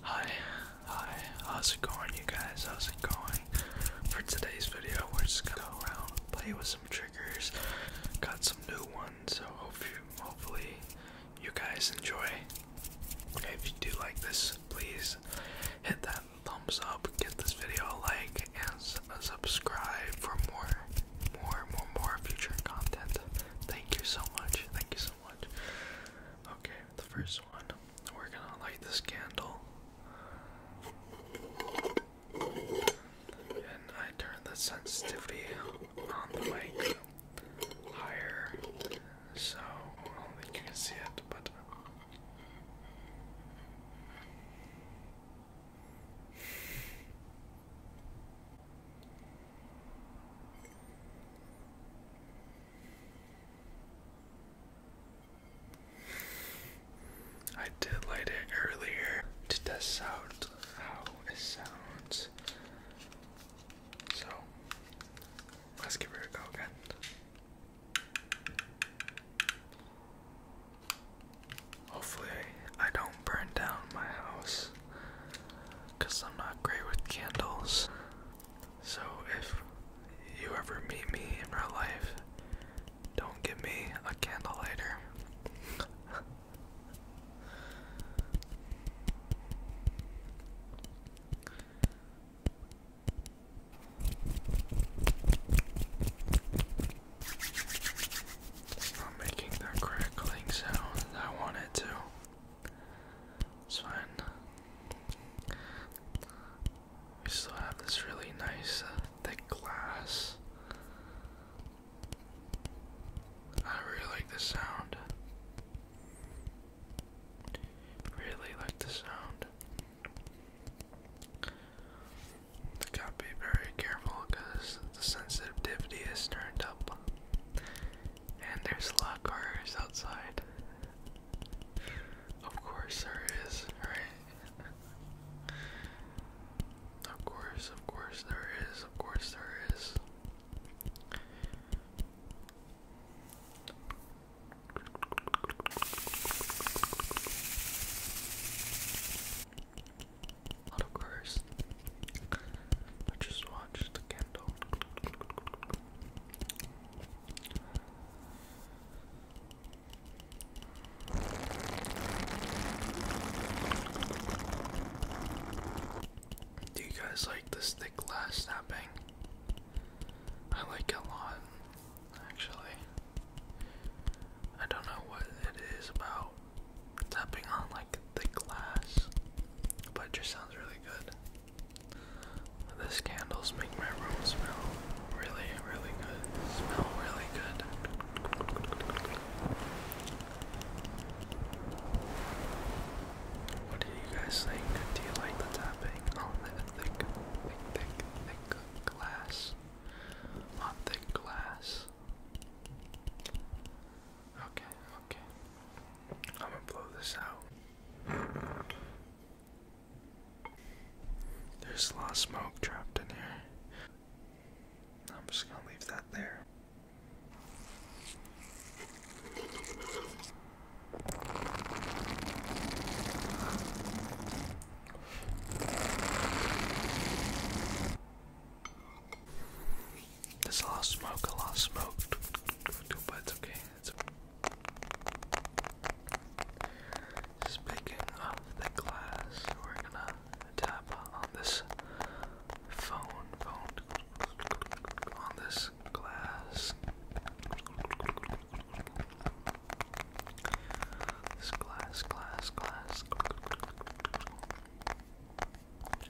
Hi, hi, how's it going you guys? How's it going? For today's video, we're just gonna go around play with some triggers. Got some new ones, so hope hopefully you guys enjoy. If you do like this, please hit that thumbs up, give this video a like, and uh, subscribe for more, more, more, more future content. Thank you so much, thank you so much. Okay, the first one. We're gonna light this candle. And I turn the sensitivity on the mic higher so I don't think you can see it, but. I did light it earlier to test out how it sounds. So let's give it a go again. Hopefully, I don't burn down my house because I'm not great with candles. So if you ever meet me in real life, don't give me a candle lighter. It's not making that crackling sound I want to. It's fine. We still have this really nice uh, thick glass. I really like the sound. Really like the sound. Gotta be very careful because the sensitivity is turned up. And there's a lot of cars outside. Of course there is, right? Of course, of course there is, of course there is. of cars. I just watched the candle. Do you guys like this thick glass snapping? I like it a lot, actually. I don't know what it is about tapping on like thick glass, but just sounds really good. This candles make my room smell really, really good. Smell really good. What do you guys think? Do you like the tapping on the thick, thick, thick, thick glass? On thick glass. Okay, okay. I'm gonna blow this out. There's a lot of smoke trapped in here. I'm just gonna leave that there. There's a lot of smoke, a lot of smoke, but it's okay. Speaking of the glass, we're gonna tap on this phone, phone, on this glass. This glass, glass, glass. Out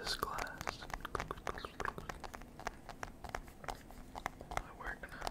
this glass. Not working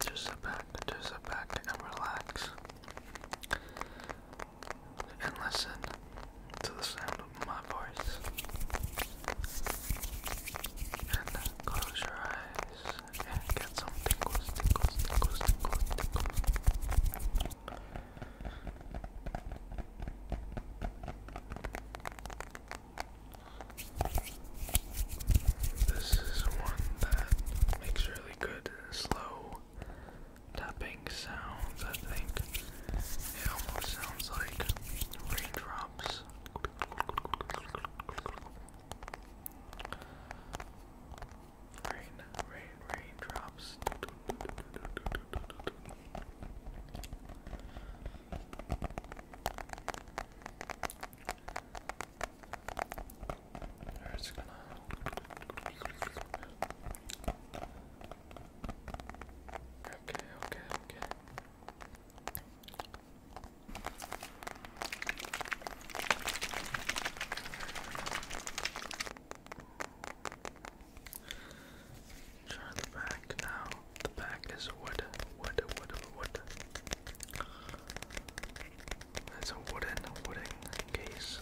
Just sit back, just sit back and relax. And listen to the sound of my voice. And close your eyes and get some tingles, tingles, tingles, tingles, tingles. This is one that makes really good slow tapping sounds, I think. It almost sounds like raindrops. Rain, rain, raindrops. It's gonna Okay, okay, okay. Try the back now. The back is wood, wood, wood, wood. It's a wooden, wooden case.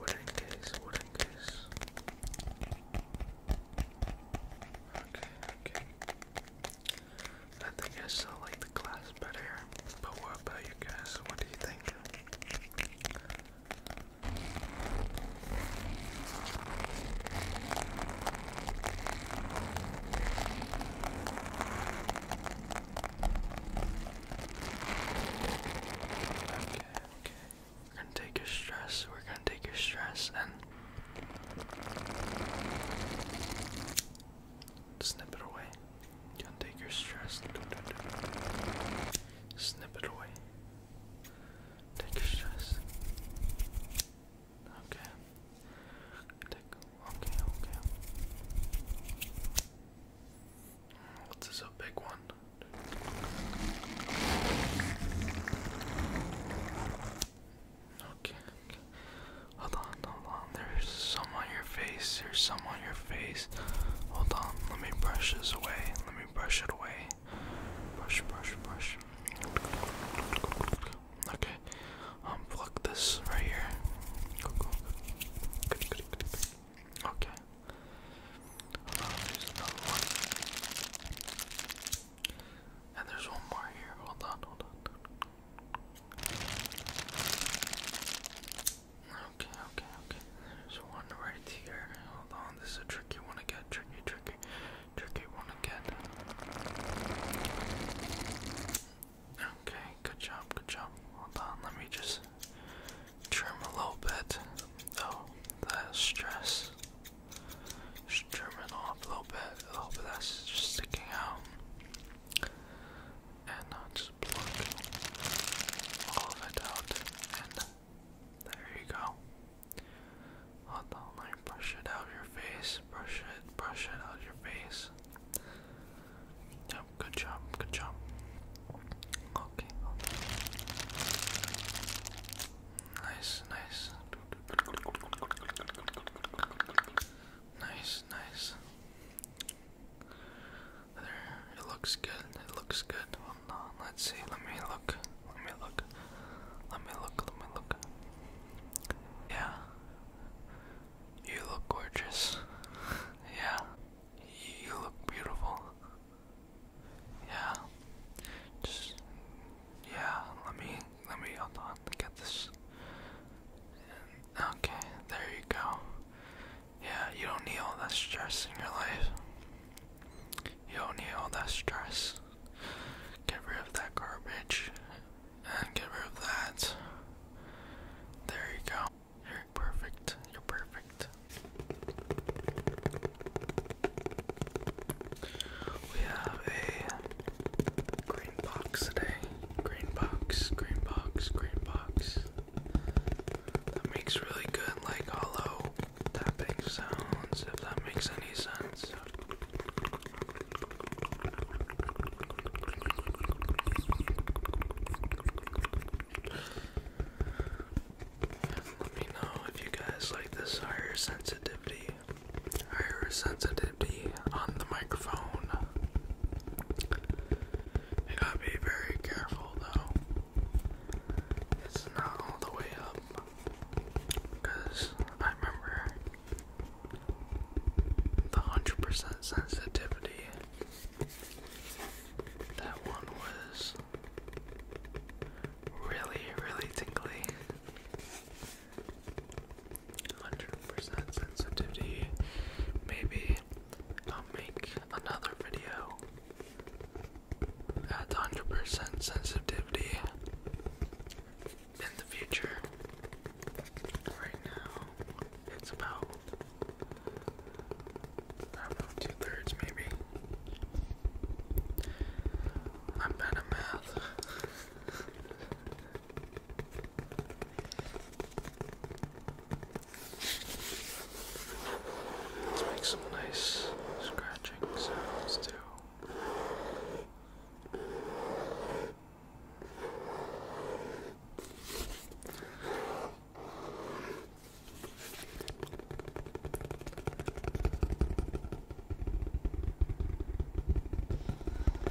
Wooden case, wooden case. Okay, okay. I think I still like the glass better. But what about you guys? What do you think? okay. We're gonna take your stress, we're gonna take your stress and snip it away. You can take your stress. Snip it away. Take your stress. Okay. Take, okay, okay. What's this, a big one? Okay, okay. Hold on, hold on there's some on your face, there's some on your face. Hold on, let me brush this away, let me brush it away. Brush, brush, brush. Okay, um, this right here. Okay. Um, there's another one. And there's one more here. Hold on, hold on. Okay, okay, okay. There's one right here. Hold on, this is a tricky one again. Tricky, tricky, tricky one again. Okay, good job, good job. Hold on, let me just trim a little bit. Oh, that stress. Just trim it off a little bit. A little bit that's just sticking out and i just plug all of it out and there you go. I'll, like brush it out of your face, brush it, brush it out of your face. Yep, good job, good job. okay. Nice, nice. Nice, nice. There, it looks good. It looks good. Hold on, let's see. Let me look. Let me look. Let me look. Let me look. Yeah. You look gorgeous. yeah. You look beautiful. Yeah. Just yeah, let me let me hold on get this. Okay, there you go. Yeah, you don't need all that stress in your life. You don't need all that stress. Get rid of that garbage and get rid of that. There you go. You're perfect. You're perfect. We have a green box today. Green box, green box, green box. That makes really good, like hollow tapping sounds, if that makes any sense. Let me know if you guys like this higher sensitivity, higher sensitivity on the microphone. You gotta be very careful though. It's not all the way up. I remember the 100% sensitivity. That one was really, really tingly. 100% sensitivity. Maybe I'll make another video at 100% sensitivity in the future. Right now, it's about, two thirds maybe. I'm bad at math. Let's make some nice scratching sounds too.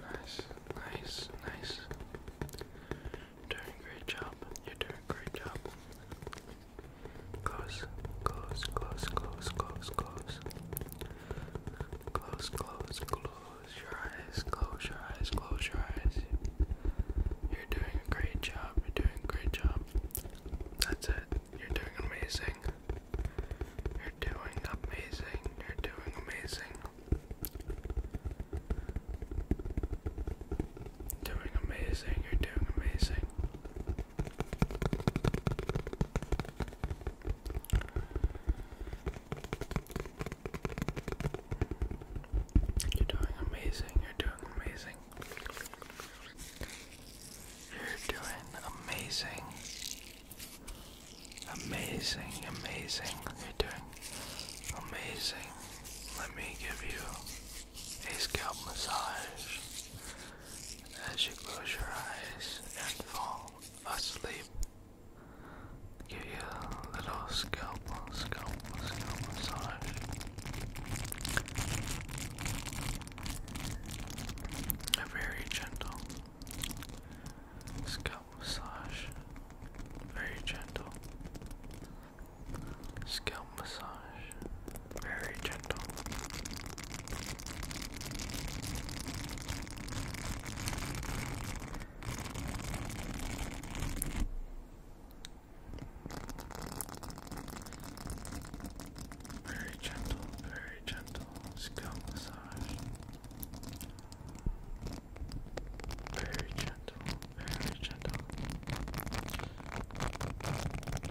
Nice, nice, nice. Doing great job. You're doing great job. Close, close, close, close, close, close. Close, close, close your eyes, close your eyes, close your eyes. You're doing a great job, you're doing a great job. That's it, you're doing amazing. You're doing amazing. You're doing amazing. Doing amazing. You're doing amazing. You're doing amazing. You're doing amazing. You're doing amazing. Amazing, amazing. You're doing amazing. Let me give you a scalp massage as you close your eyes and fall asleep. Give you a little scalp, scalp, scalp massage. A very gentle, Scalp massage. Very gentle. Scalp massage. Very gentle. Very gentle, very gentle scalp massage. Very gentle, very gentle.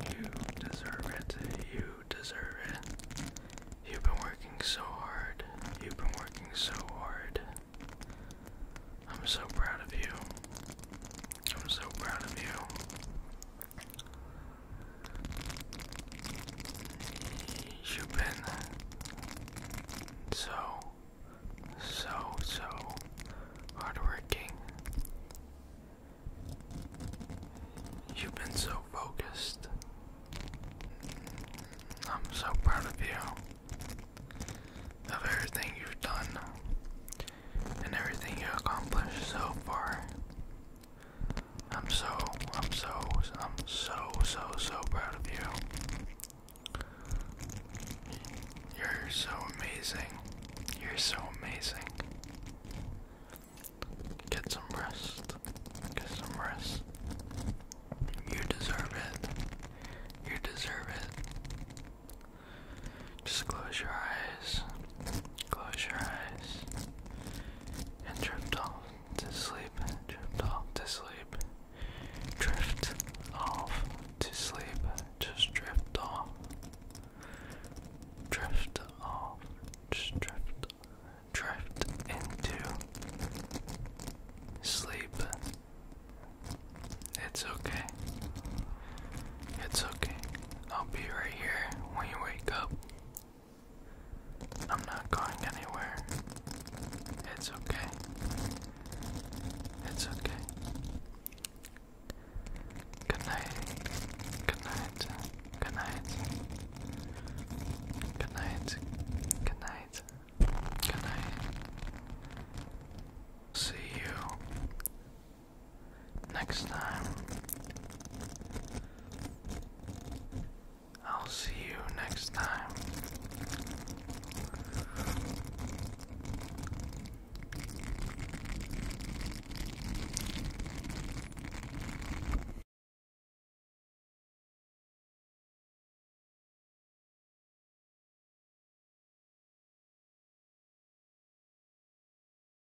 You deserve it. You deserve it. You've been working so hard. You've been working so hard. I'm so proud of you. I'm so proud of you. You've been so, so, so hardworking. You've been so focused. I'm so proud of you, of everything you've done, and everything you accomplished so far. I'm so, I'm so, I'm so, so, so proud of you. You're so amazing. You're so amazing. Get some rest. Get some rest. You deserve it. You deserve it. Just close your eyes. Close your eyes and drift off to sleep, drift off to sleep, drift off to sleep, just drift off, drift off, just drift, drift into sleep. It's okay. It's okay. I'll be right here when you wake up. I'm not going anywhere. It's okay. It's okay. Good night. Good night. Good night. Good night. Good night. Good night. See you Next time, I'll see you next time.